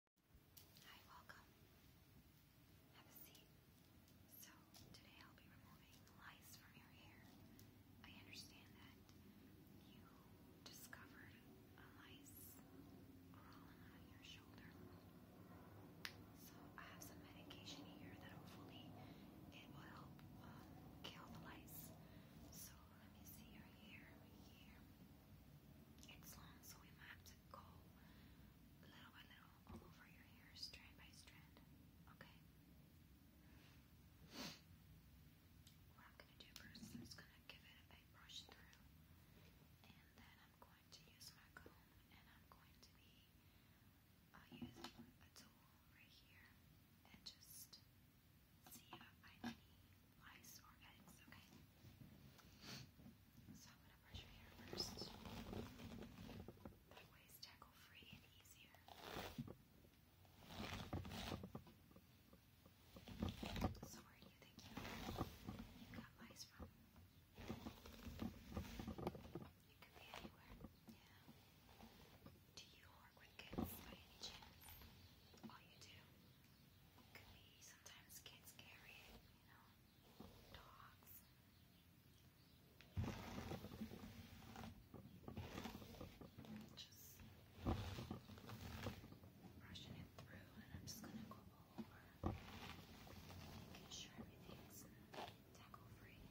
Hi, welcome. Have a seat. So, today I'll be removing lice from your hair. I understand that you discovered a lice crawling on your shoulder. So, I have some medication here that hopefully it will help um, kill the lice. So, let me see your hair here. It's long, so we might have go little by little all over your hair, strand by strand. Okay? What I'm going to do first is I'm just going to give it a brush through, and then I'm going to use my comb, and I'm going to be uh, using a tool right here and just see if I need lice or eggs, okay? So I'm going to brush your hair first. That way it's tackle free and easier. So where do you think you, got lice from? It could be anywhere, yeah. Do you work with kids by any chance? All you do? could be sometimes kids carry it, you know, dogs. Just brushing it through, and I'm just gonna go over, making sure everything's tackle free.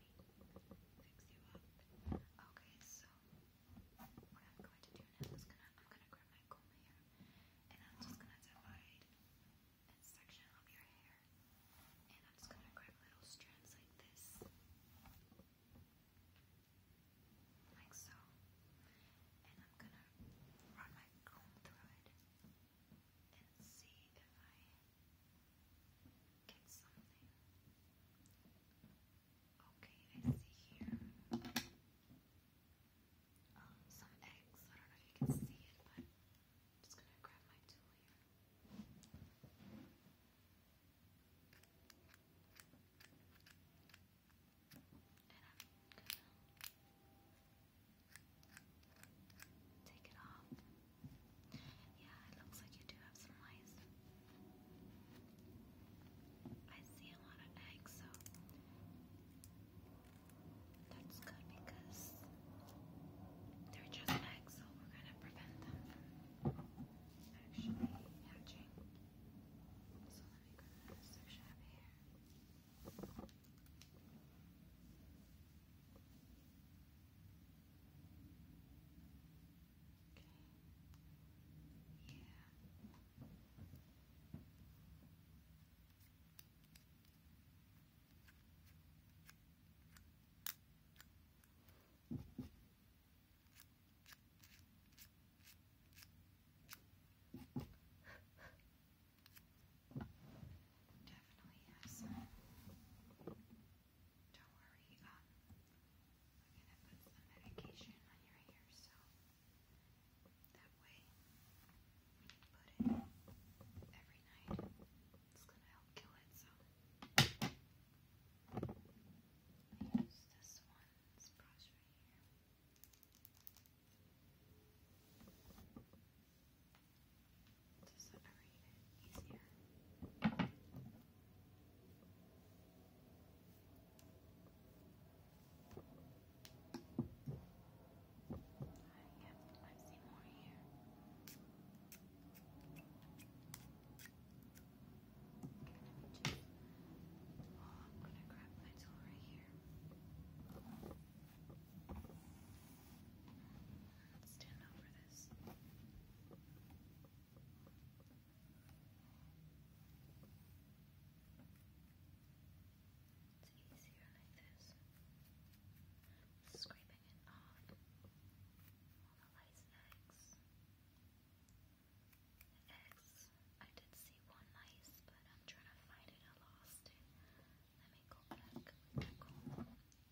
Picks you Okay, so what I'm going to do now is gonna I'm gonna grab my comb here and I'm just gonna divide and section up your hair. And I'm just gonna grab little strands like this. Like so. And I'm gonna run my comb through it and see if I Okay, I see here some eggs. I don't know if you can see it, but I'm just gonna grab my tool here. And I'm gonna take it off. Yeah, it looks like you do have some lice. I see a lot of eggs, so that's good because they're just eggs, so we're gonna prevent them actually hatching. So let me grab this section up here. Okay. Yeah. Definitely has some don't worry, um, I'm gonna put some medication on your hair so that way you put it every night, it's gonna help kill it. So use this one, this right here to separate it easier. Uh, yep, I more here. oh, I'm gonna grab my tool right here. Stand over this. It's easier like this. Scraping it off all the lice eggs. eggs, I did see one mice, but I'm trying to find it. I lost it. Let me go back.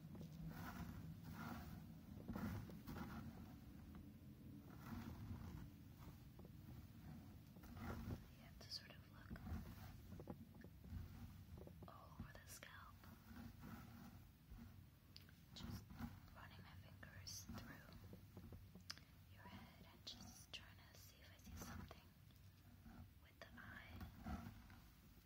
You have to sort of look all over the scalp, just running my fingers through your head and just trying to see if I see something with the eye.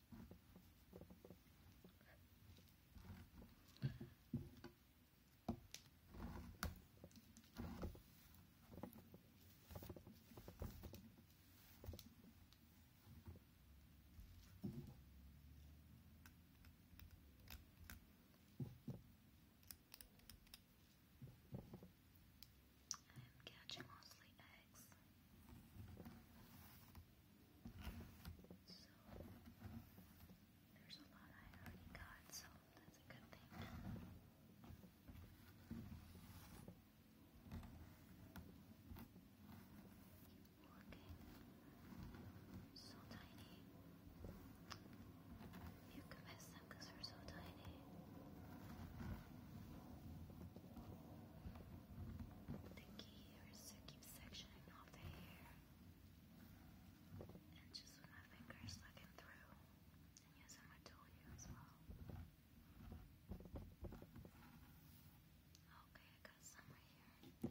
I'm catching mostly eggs. So there's a lot I already got, so that's a good thing. Keep So tiny. You can miss them they're so tiny. The key or Suki keep sectioning off the hair and just with my fingers sucking through and using my tool here as well. Okay, I got some right here.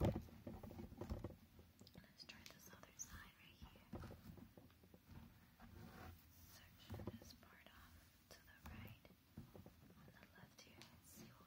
Let's try this other side right here. Section this part off to the right, on the left here, let's see what we got.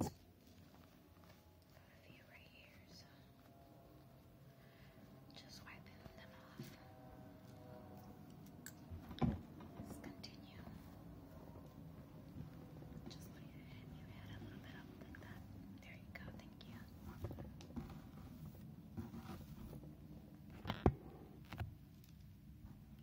a few right here, just wiping them off. Let's continue. Just looking at it, you add a little bit up like that. There you go, thank you.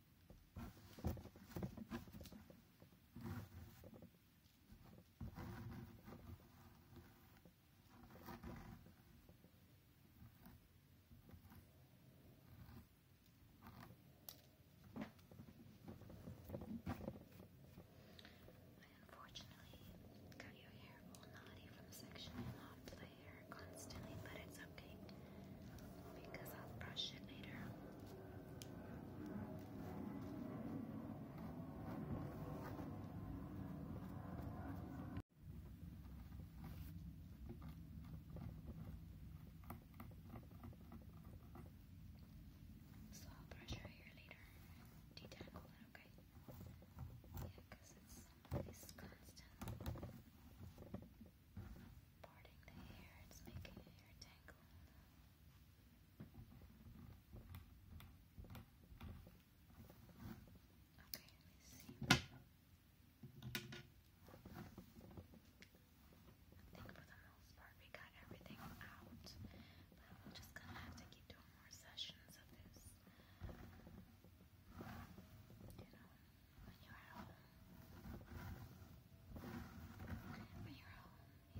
unfortunately got your hair all naughty from sectioning off constantly, but it's okay because I'll brush it later. So I'll brush your hair later. Detangle it, okay? Yeah, it's always constant parting the hair, it's making your hair tangle. Okay, let me see. think for the most part we got everything out, but I'm just gonna have to keep doing more sessions of this. You know when you're at home. When you're home, you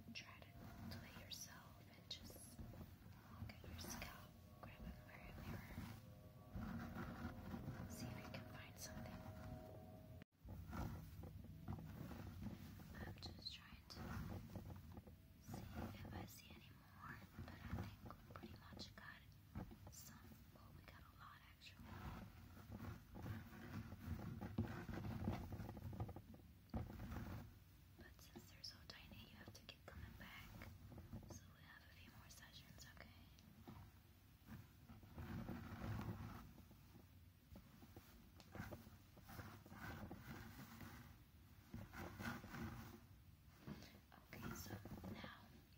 know, try to do it yourself and just look at your scalp, grab a mirror, see if you can find something. I'm just trying to see if I see any more but I think we pretty much got some. Well, we got a lot actually. But since they're so tiny, you have to keep coming back. So we have a few more sessions, okay? Okay, so now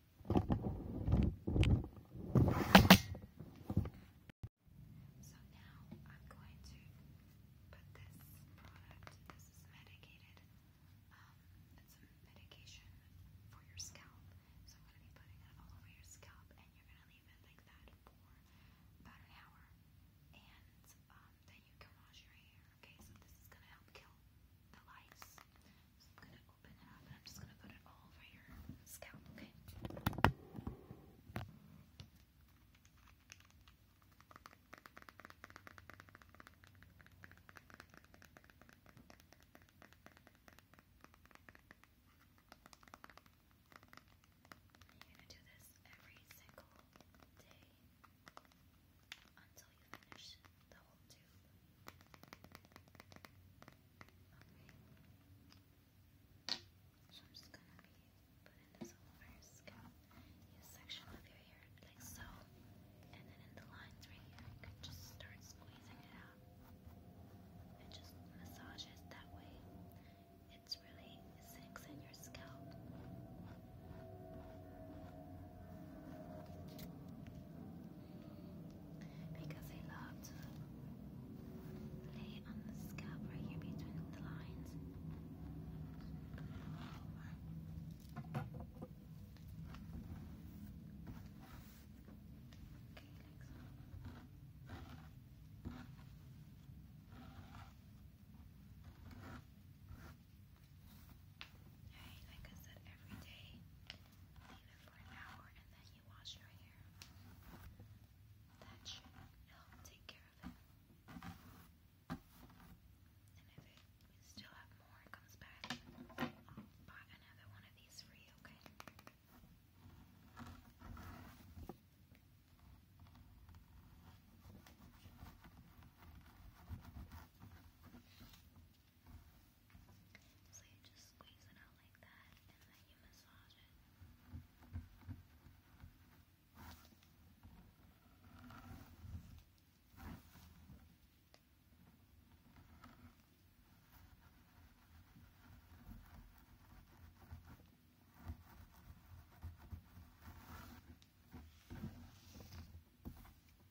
so now I'm going to put this product, this is medicated, um, it's a medication for your scalp. So I'm going to be putting it all over your scalp and you're going to leave it like that for about an hour. And um, then you can wash your hair, okay? So this is going to help kill the lice. I'm going to open it up and I'm just going to put it all over your scalp, okay? you going to do this every single day until you finish the whole tube. Okay. So I'm just gonna be putting this over your scalp. Use section of your hair like so. And then in the lines right here, you can just start squeezing it out. It just massages that way. It's really sinks in your scalp. Because I love lay on the scalp right here between the lines. Okay, like Alright, like I said, every day, leave it for an hour and then you wash your hair. That should help take care of it. And if it, still have more, it comes back. I'll buy another one of these for you, Okay, so you just squeeze it out like that and then you massage it.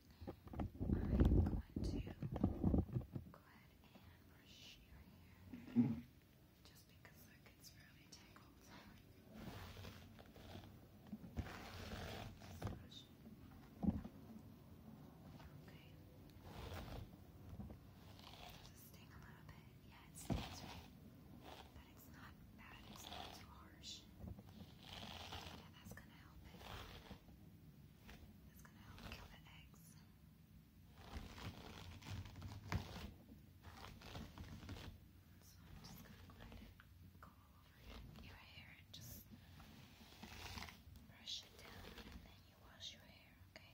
brush your hair just because look, it's really tangled. So just Okay. Does it sting a little bit? Yeah, it stings, But it's not bad. It's not too harsh. Yeah, that's gonna help it. That's gonna help kill the eggs. So I'm just gonna go over your hair and just brush it down and then you wash your hair, Okay.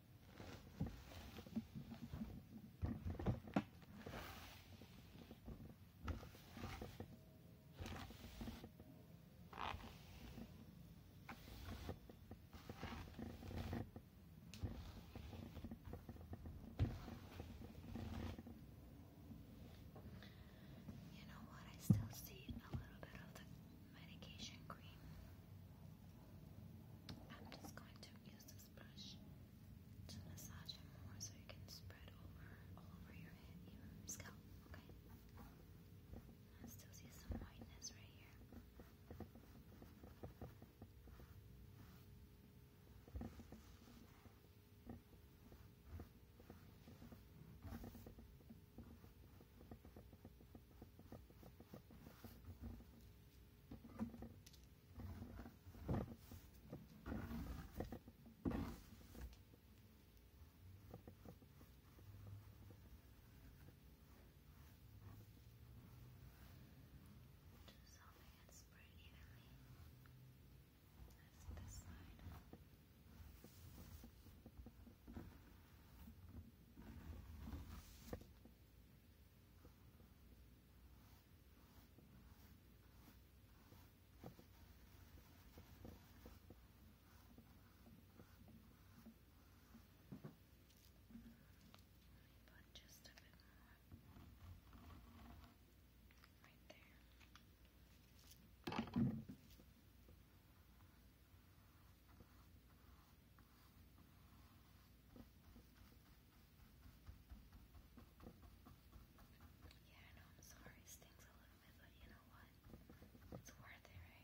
You know what? I still see a little bit of the medication cream. I'm just going to use this brush to massage it more so you can spread over all over your scalp. Okay. I still see some whiteness right here something and spread evenly. That's this side. But just a bit more right there. Yeah, I know, I'm sorry. stings a little bit, but you know what? It's worth it, right?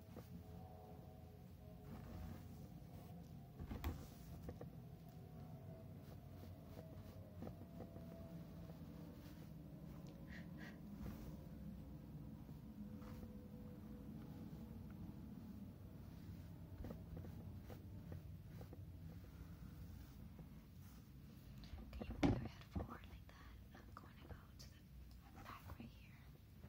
Okay, you put your head forward like that, I'm going to go to the back right here.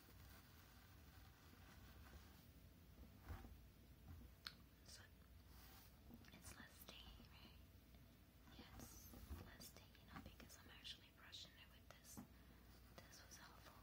So it's less sticky, Yes, less sticky now because I'm actually brushing it with this. This was helpful.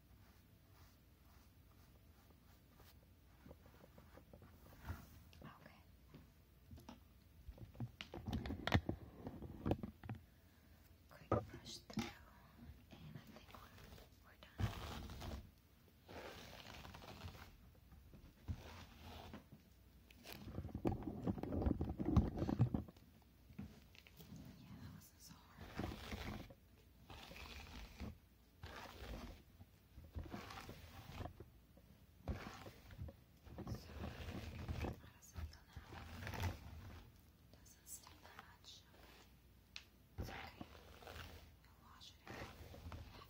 Quick brush through, and I think we're, we're done. Yeah, that wasn't so hard. how does it feel now? doesn't sting that much. It's okay. You'll wash it in half an hour now.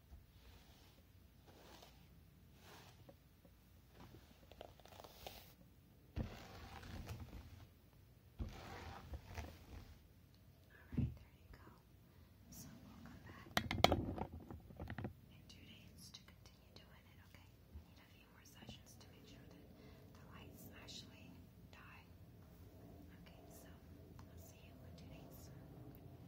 Alright, there you go. So we'll come back in two days to continue doing it, okay? We need a few more sessions to make sure that the lights actually die. Okay, so I'll see you in two days.